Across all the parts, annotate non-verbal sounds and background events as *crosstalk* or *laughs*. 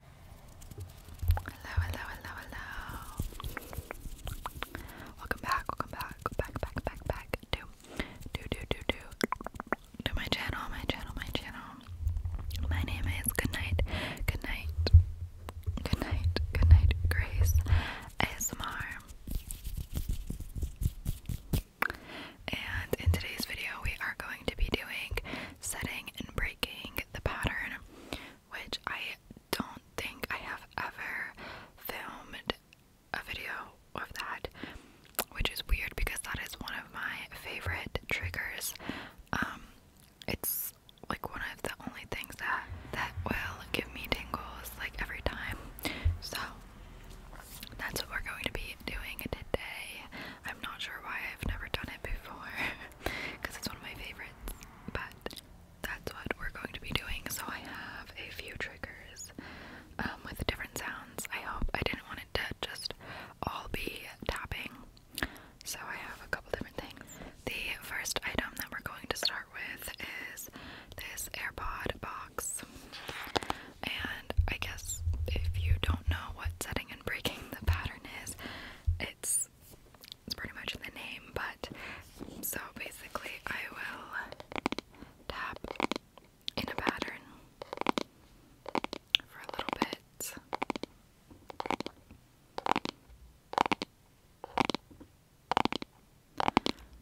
Hello, hello, hello, hello. Welcome back, welcome back, back, back, back, back to do do do do to my channel, my channel, my channel. My name is Goodnight, Goodnight, Goodnight, Goodnight Grace ASMR. And in today's video, we are going to be doing setting and breaking the pattern, which I don't think I have ever filmed a video of that, which is weird because that is one of my favorite triggers. Um, it's like one of the only things that that will give me tingles like every time. So that's what we're going to be doing today. I'm not sure why I've never done it before. *laughs* because it's one of my favorites. But that's what we're going to be doing. So I have a few triggers um, with different sounds. I hope I didn't want it to just all be tapping. So I have a couple different things. The first item that we're going to start with is this AirPod box. And I guess if you don't know what setting and breaking the pattern is, it's pretty much the name, but so basically I will tap in a pattern for a little bit.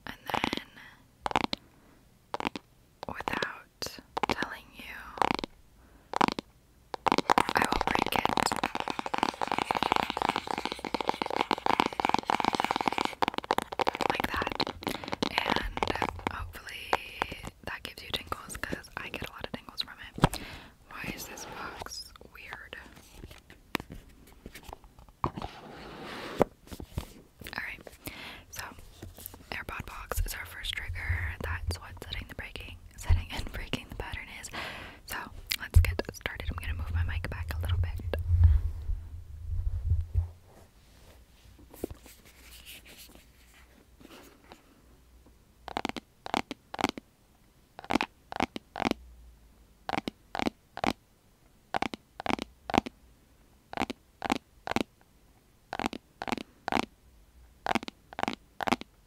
And then, without telling you I will break it like that, and hopefully that gives you tingles because I get a lot of tingles from it. Why is this box weird? Alright, so AirPod box is our first trigger. That's what's setting the breaking setting and breaking the pattern is. So let's get started. I'm gonna move my mic back a little bit.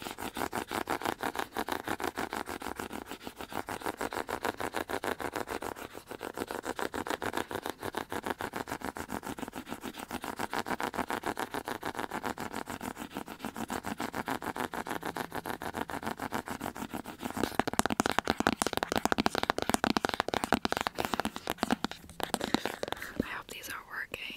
I hope these are working.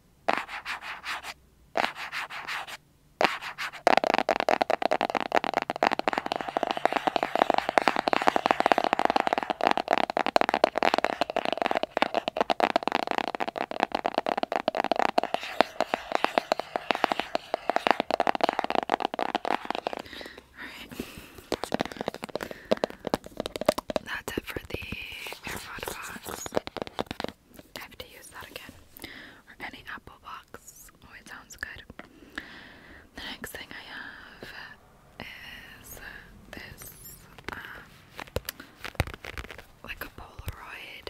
Alright. That's it for the AirPod box. I have to use that again. Or any apple box. always oh, sounds good. The next thing I have is this, um, like a Polaroid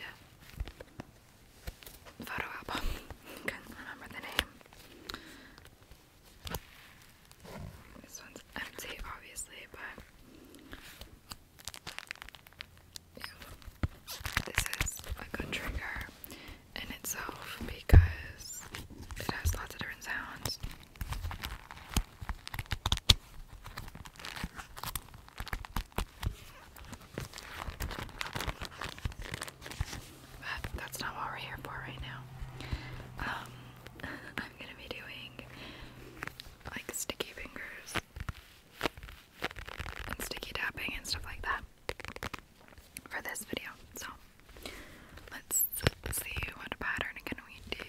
photo album. *laughs* Couldn't remember the name. This one's empty, obviously, but this is a trigger in itself because it has lots of different sounds. But that's not what we're here for right now. Um, *laughs* I'm gonna be doing like sticky fingers and sticky tapping and stuff like that for this video. So let's, see what pattern can we do.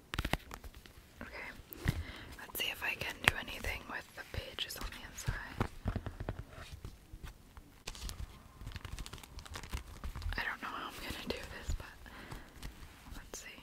Okay, let's see if I can do anything with the pages on the inside. I don't know how I'm gonna do this, but let's see.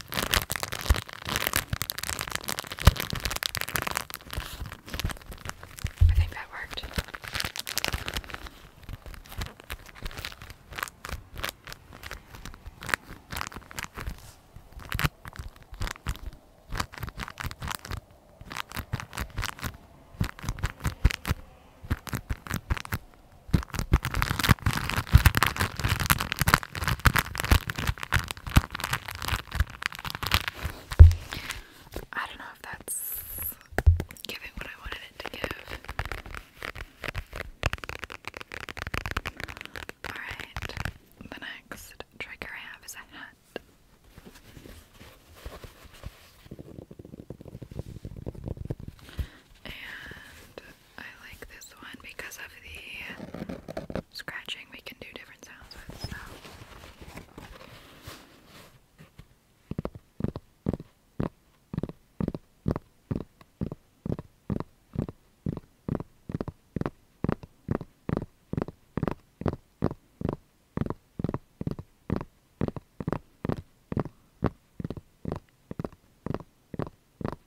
I think that worked. I don't know if that's giving what I wanted it to give. Alright, the next trigger I have is a hat. And I like this one because of the scratching we can do different sounds with, so. Okay.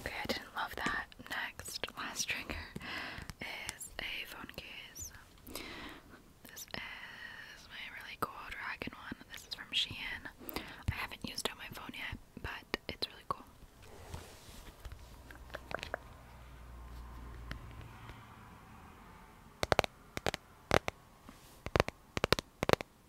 Okay, I didn't love that. Next, last trigger is a phone case. This is my really cool dragon one. This is from Shein. I haven't used it on my phone yet, but it's really cool.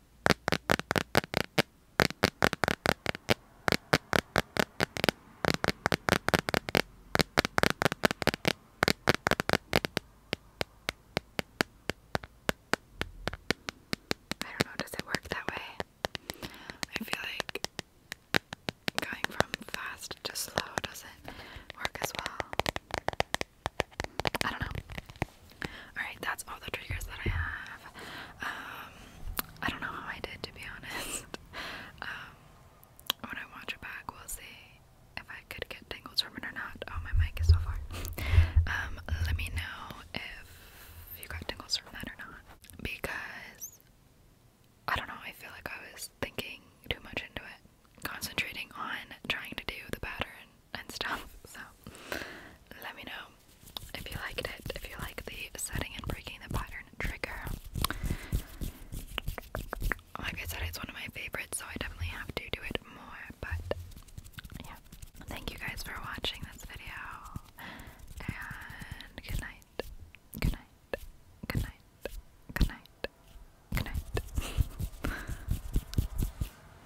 I don't know, does it work that way? I feel like going from fast to slow doesn't work as well. I don't know. Alright, that's all the triggers that I have. Um, I don't know how I did, to be *laughs* honest. Um, when I watch it back, we'll see if I could get tingles from it or not. Oh, my mic is so far. Um, let me know if you got tingles from that or not. Because, I don't know, I feel like I was thinking too much into it. Concentrating on trying to do the pattern and stuff. So let me know if you liked it, if you like the setting and breaking the pattern trigger. Like I said, it's one of my favorites, so I definitely have to do it more. But yeah, thank you guys for watching this video, and good night, good night, good night, good night, good night. *laughs*